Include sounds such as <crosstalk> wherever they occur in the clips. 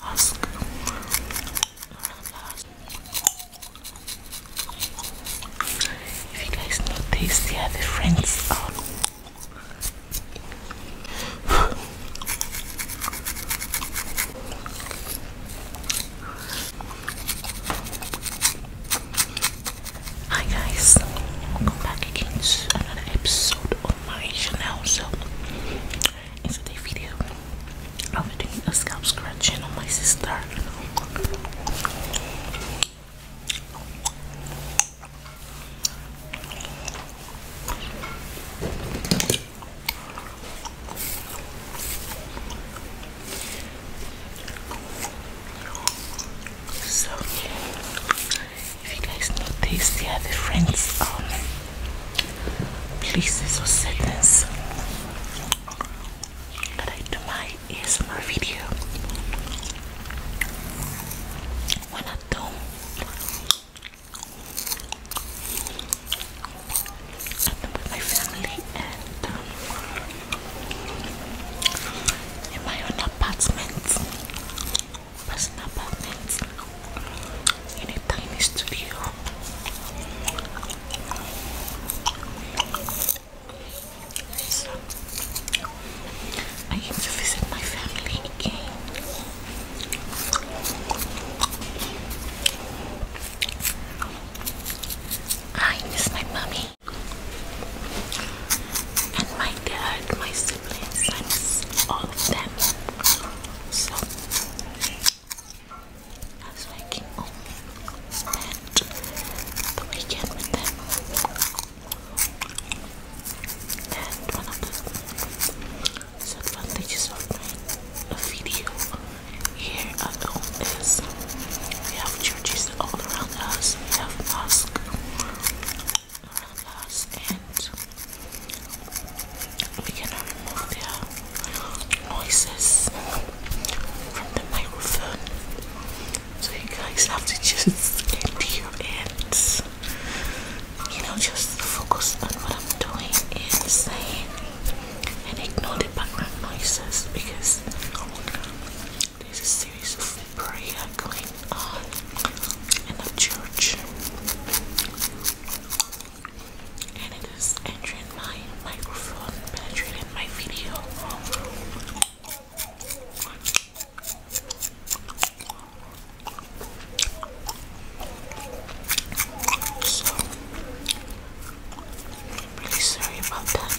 Ask. If you guys notice, the friends Hi guys, welcome back again to another episode on my channel. So in today's video i am be doing a scalp scratching on my sister so if you guys notice the friends um, Please, or settings that I do my ASMR video. When I don't, with my family and um, in my own apartment bus and apartments in a tiny studio. I came to visit my family I miss my mommy and my dad, my siblings, all of them. So I was making all spent the weekend with them. And one of the disadvantages of doing a video here alone is we have churches all around us, we have mosques around us and we cannot remove their noises from the microphone. So you guys have to just empty your ends. You know, just focus on what I'm doing and saying and ignore the background noises because there's a series of prayer going on in the church and it is entering my microphone, penetrating my video. I'm really sorry about that.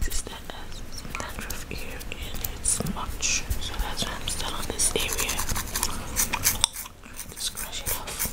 Sister has some dandruff here and it's much, so that's why I'm still on this area. Just crush it off.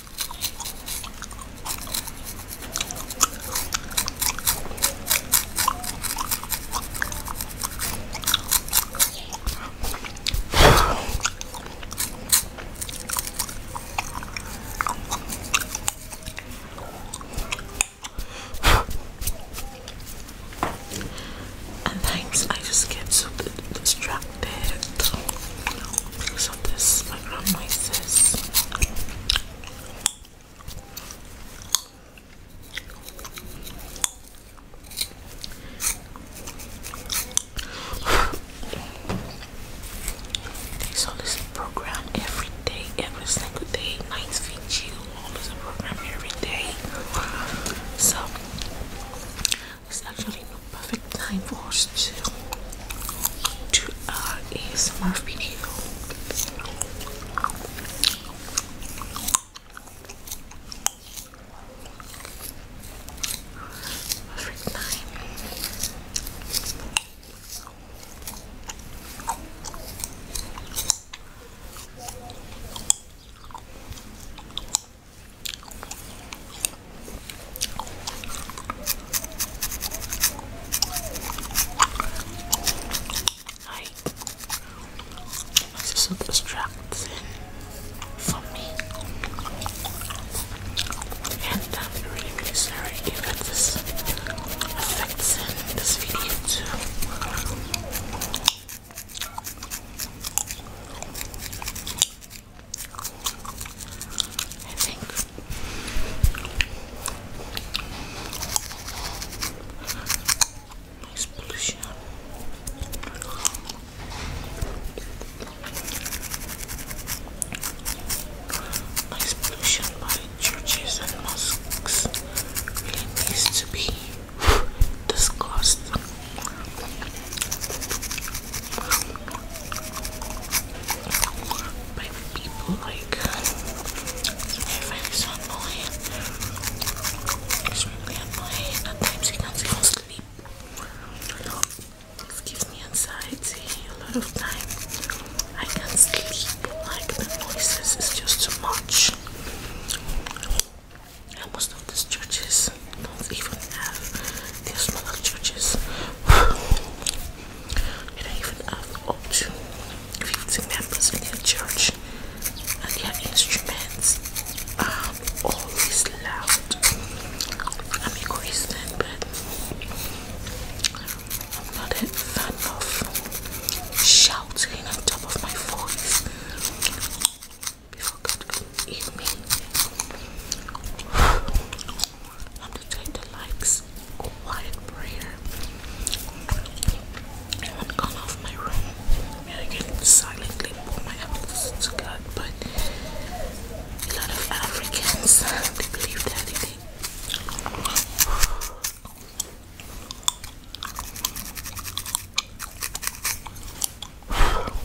And thanks, I just get so distracted. This this, my grandma says. There's always program every day, every single day, nights for you, a program every day. So it's actually no perfect time for us first to uh, ASMR video. Perfect time this is so distracting for me. And I'm really, really sorry if it is affects this video too. I think. Nice pollution. by churches and mosques really needs to be discussed. But people like they're very so annoying. It's really annoying. At times he can't even sleep. This gives me anxiety a lot of time. I can't sleep. Like the noises is just too much. And most of these churches don't even have their smaller churches. It ain't even up, to 50 members in the church and their instruments are always loud. I'm a Christian, but I'm not a fan of shouting on top of my voice before God I'm to take the likes quiet prayer. I haven't gone off my room and I can silently pour my apples to God, but a lot of Africans they believe that they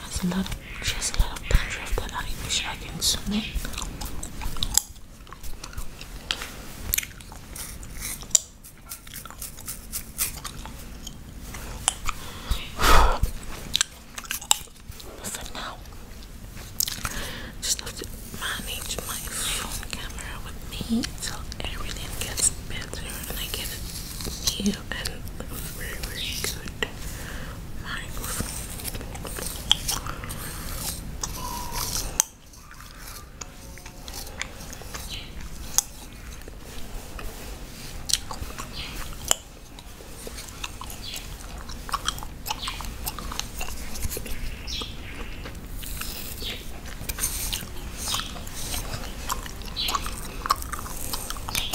Has a lot of, she a lot of pressure of that I wish I can zoom <sighs> For now, just have to manage my phone camera with me till everything gets better and I get a and a very, very good microphone.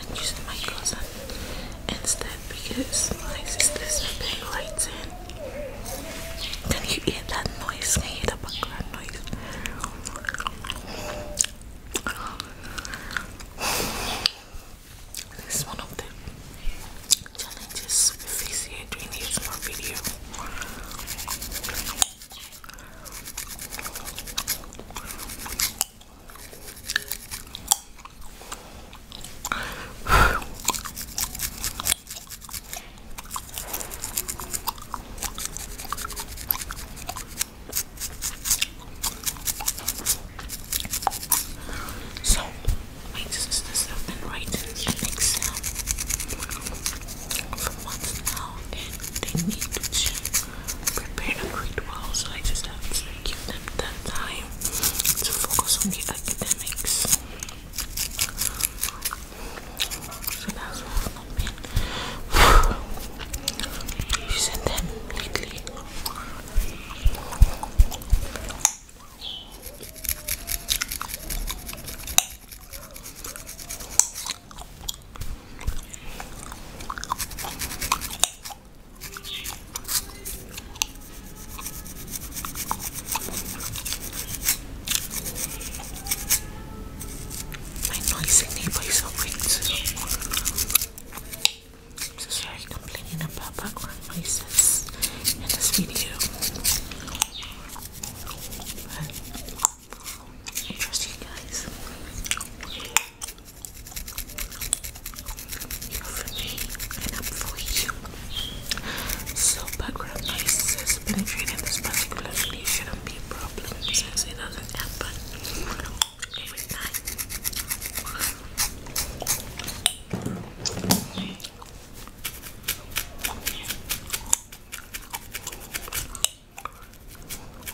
I'm using my cousin instead because my sister's been lights Can you hear that noise? Can you hear the background noise? This is one of the challenges we face here during video. So, my sisters have been writing things down for months now, and they need to prepare a great well, so I just have to give them that time to focus on the academics. So that's what I've been using them lately. My noisy neighbor is awake too. So sorry complaining about background noises in this video. trust you guys. You're for me, and I'm for you. So background noise has penetrated this particular video shouldn't be a problem since it doesn't happen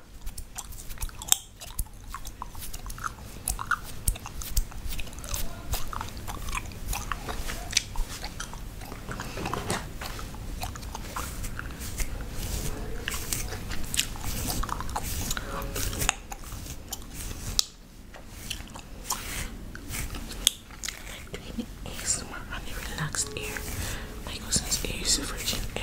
I like doing ASMR on relaxed ear Michaelson's air Virgin air.